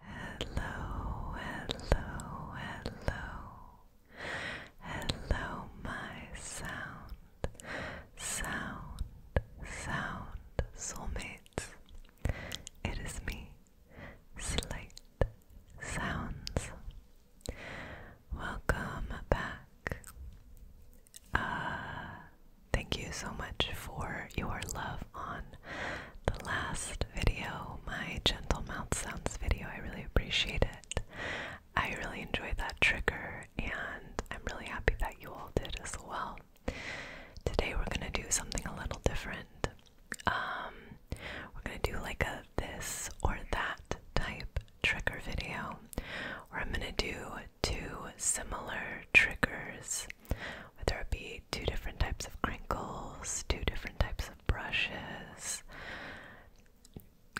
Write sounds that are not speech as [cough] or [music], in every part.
Hello, hello, hello, hello, my sound, sound, sound soulmates. It is me, Slight Sounds. Welcome back. Uh, thank you so much for your love on the last video, my gentle mouth sounds video. I really appreciate it. I really enjoyed that trigger, and I'm really happy that you all did as well. Today, we're gonna do something a little different. Um, we're gonna do like a this or that type trigger video, where I'm gonna do two similar triggers whether it be two different types of crinkles, two different types of brushes,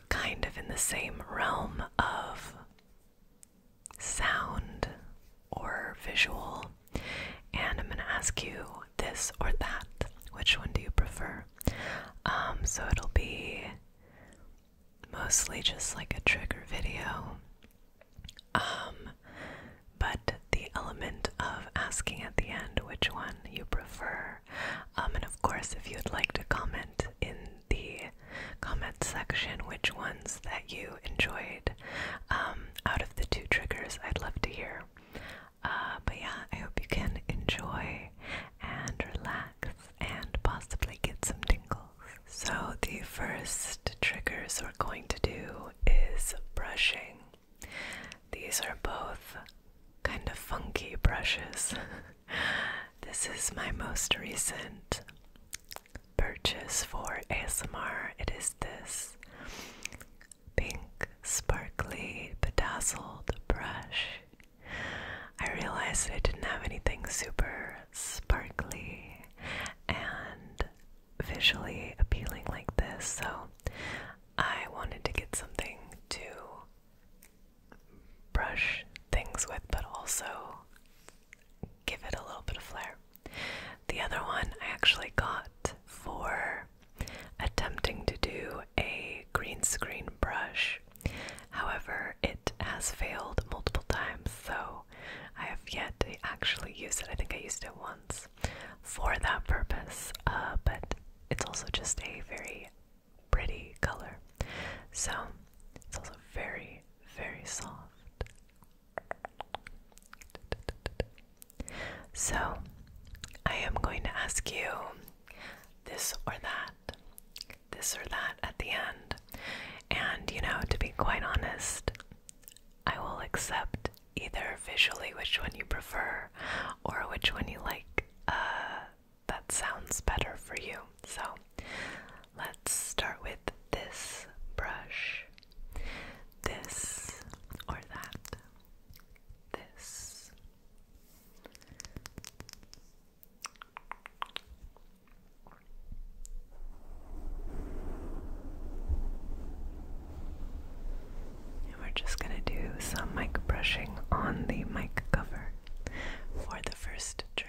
kind of in the same realm of sound or visual. And I'm going to ask you this or that. Which one do you prefer? Um, so it'll be mostly just like a trigger video. Um, but the element of asking at the end which one you prefer. Um, and of course, if you'd like to comment in the comment section which ones that you enjoyed um, out of the two triggers, I'd love to hear. Uh, but yeah, I hope you can enjoy and relax and possibly get some tingles. So, the first next triggers we're going to do is brushing. These are both kind of funky brushes. [laughs] this is my most recent purchase for ASMR. It is this pink, sparkly, bedazzled brush. I realized I didn't have anything super sparkly and visually appealing like this, so I wanted to get something to brush things with, but also give it a little bit of flair. The other one I actually got for attempting to do a green screen brush. However, it has failed multiple times, so I have yet to actually use it. I think I used it once for that purpose, uh, but it's also just a very pretty color. So it's also very, very soft. So I am going to ask you this or that, this or that at the end. And you know, to be quite honest, I will accept either visually which one you prefer or which one you like uh, that sounds better for you. So let's start with this brush. This or that. This we're just going to do some mic brushing on the mic cover for the first trigger.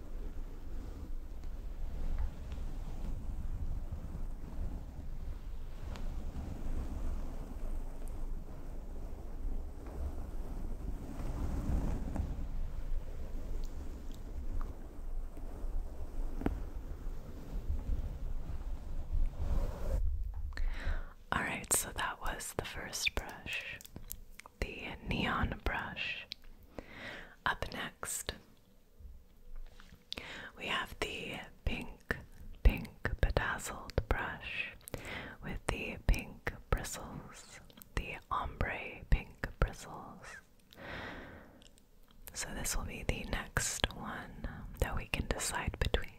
All right, so that was the first brush, the neon brush. Up next, we have the pink, pink bedazzled brush with the pink bristles, the ombre pink bristles. So, this will be the next one that we can decide between.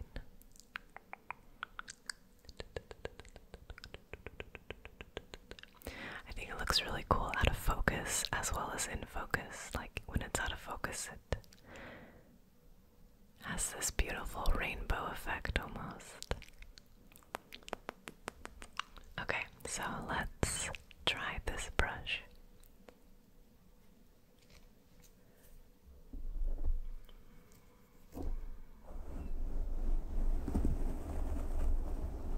I think it looks really cool out of focus as well as in focus. Like when it's out of focus, it has this beautiful rainbow effect almost. Okay, so let's try this brush.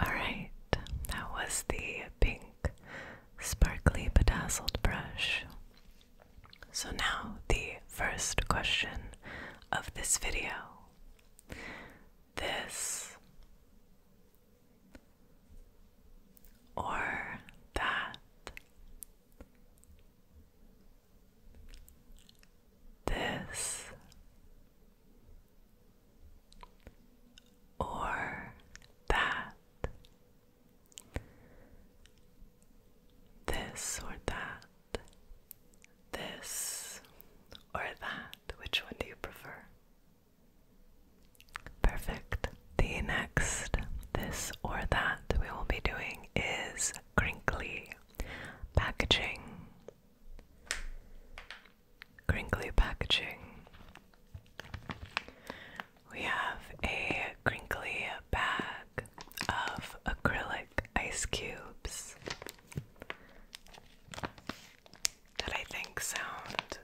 All right, that was the pink sparkly bedazzled brush. So now the first question of this video this or that. This or that, this or that, this or that, which one do you prefer? Perfect. The next this or that we will be doing is crinkly packaging. Crinkly packaging. We have a crinkly bag of acrylic ice cubes that I think sound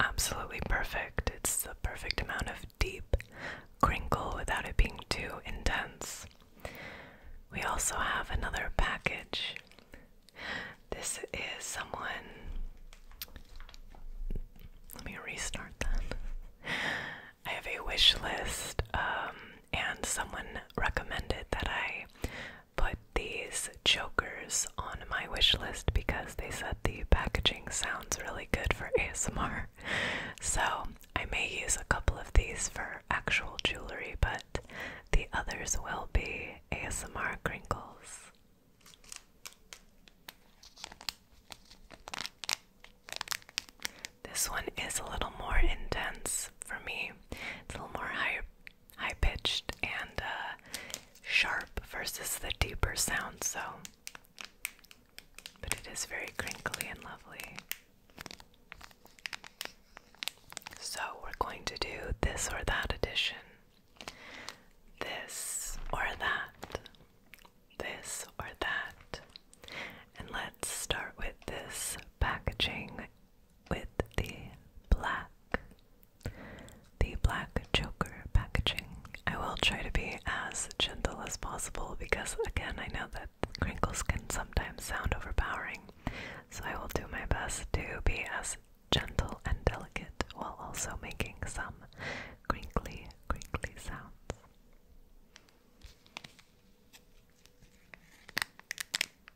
absolutely perfect. It's the perfect amount of deep crinkle without it being too intense. We also have another package. This is someone. Let me restart that. I have a wish list um, and someone recommended that I put these chokers on my wish list because they said the packaging sounds really good for ASMR. So I may use a couple of these for actual jewelry, but the others will be ASMR crinkles. This one is a little more intense for me. It's a little more high, high pitched and uh, sharp versus the deeper sound. So, but it is very crinkly and lovely. So we're going to do this or that edition. This or that. This or that. And let's start with this packaging with the black, the black choker packaging. I will try to be as gentle as possible because, again, I know that crinkles can sometimes sound overpowering. So I will do my best to be as gentle and delicate while also making some crinkly, crinkly sounds.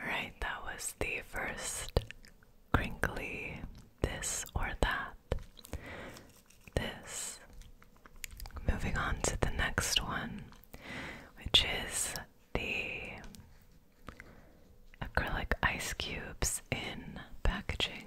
Alright, that was the first crinkly this or that. This. Moving on to the next one, which is the acrylic ice cubes in packaging.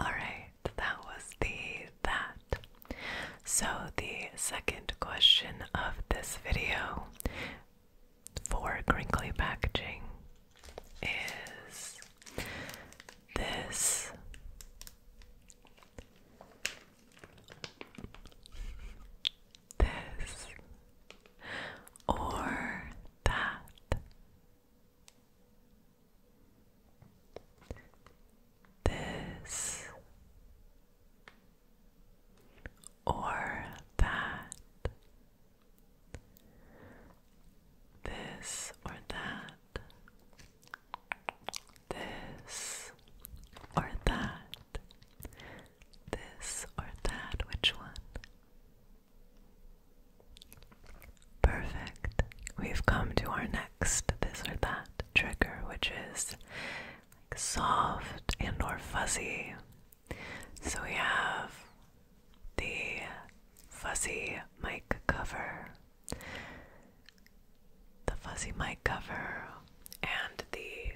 Alright, that was the that. So, the second question of this video for crinkly packaging is this. This or that. This or that. This or that. This or that. This or that. Which one? Perfect. We've come to our next this or that trigger, which is soft and or fuzzy. So we have the fuzzy mic cover, the fuzzy mic cover, and the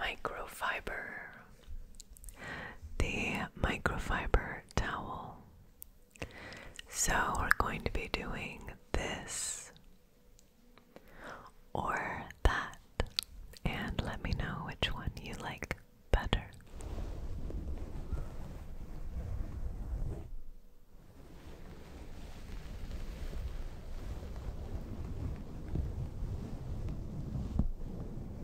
microfiber the microfiber towel. So, we're going to be doing this or that, and let me know which one you like better.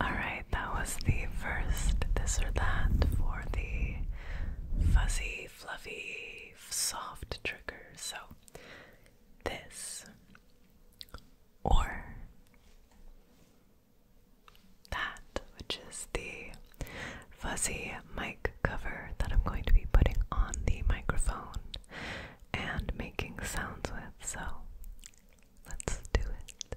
All right, that was the first this or that for the fuzzy, fluffy, soft trigger. So this or that, which is the fuzzy mic cover that I'm going to be putting on the microphone and making sounds with. So let's do it.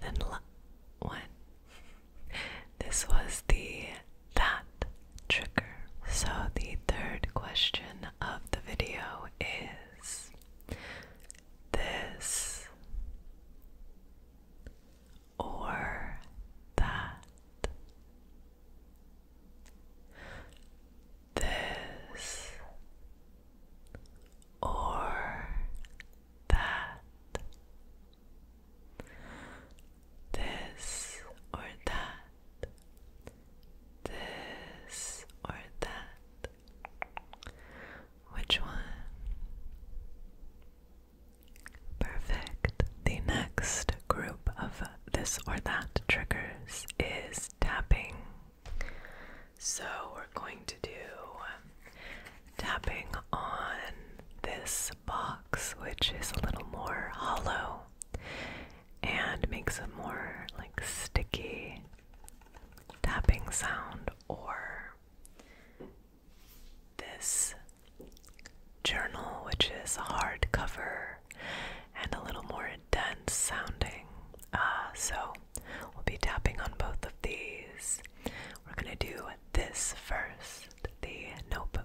than one. This was the that trigger. So, the third question of the video is this or that. This or that, this or that, this or that. Which one? Perfect. The next group of this or that triggers is tapping. So we're going to do um, tapping on this box, which is a little more hollow and makes a more like sticky tapping sound, or this journal, which is a hard cover and a little more dense sounding. Uh, so We'll be tapping on both of these. We're going to do this first the notebook.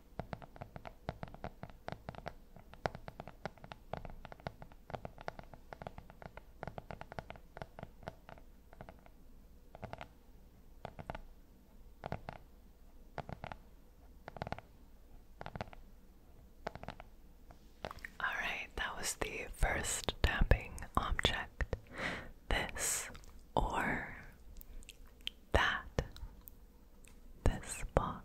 Alright, that was the first tapping object. This or that this box.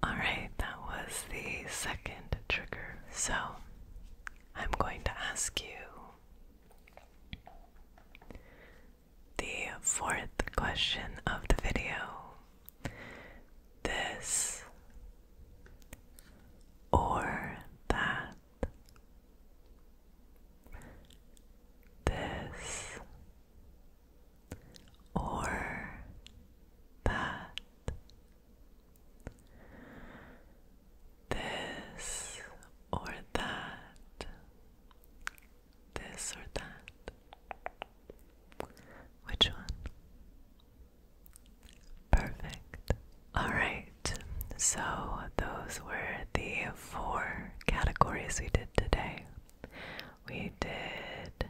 All right, that was the second trigger. So I'm going to ask you the fourth question of the video. This or that. This or that. This or that this or that? Which one? Perfect. Alright, so those were the four categories we did today. We did.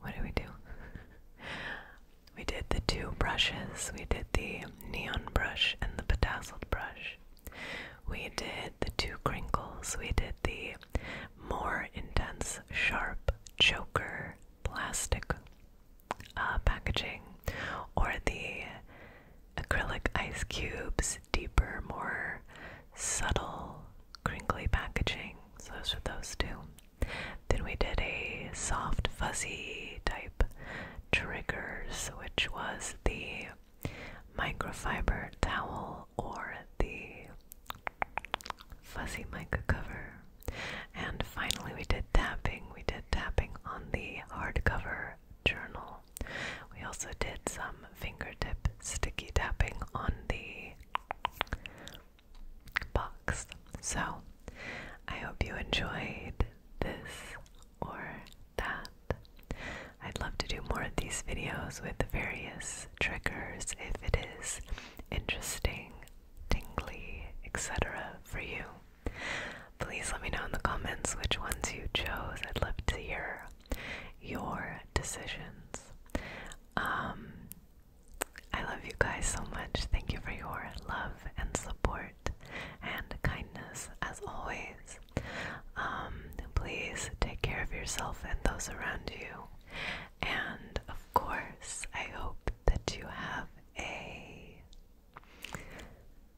What did we do? we did the two brushes. We did the neon brush and the bedazzled brush. We did the two crinkles. We did the more intense, sharp choker plastic uh, packaging, or the acrylic ice cubes, deeper, more subtle, crinkly packaging. So those were those two. Then we did a soft, fuzzy type triggers, which was the microfiber towel or the fuzzy mica cover. And finally, we did tapping. We did tapping on the hardcover journal. We also did some fingertip sticky tapping on the box. So, I hope you enjoyed this or that. I'd love to do more of these videos with various triggers if it is interesting, tingly, etc. for you. Please let me know in the comments which ones you chose. I'd love to hear your decisions. Um, I love you guys so much. Thank you for your love and support and kindness as always. Um, please take care of yourself and those around you. And of course, I hope that you have a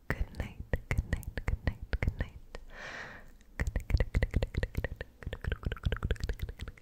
good night, good night, good night, good night. Good night, good night, good night, good night, good night, good night, good night, good night, good night.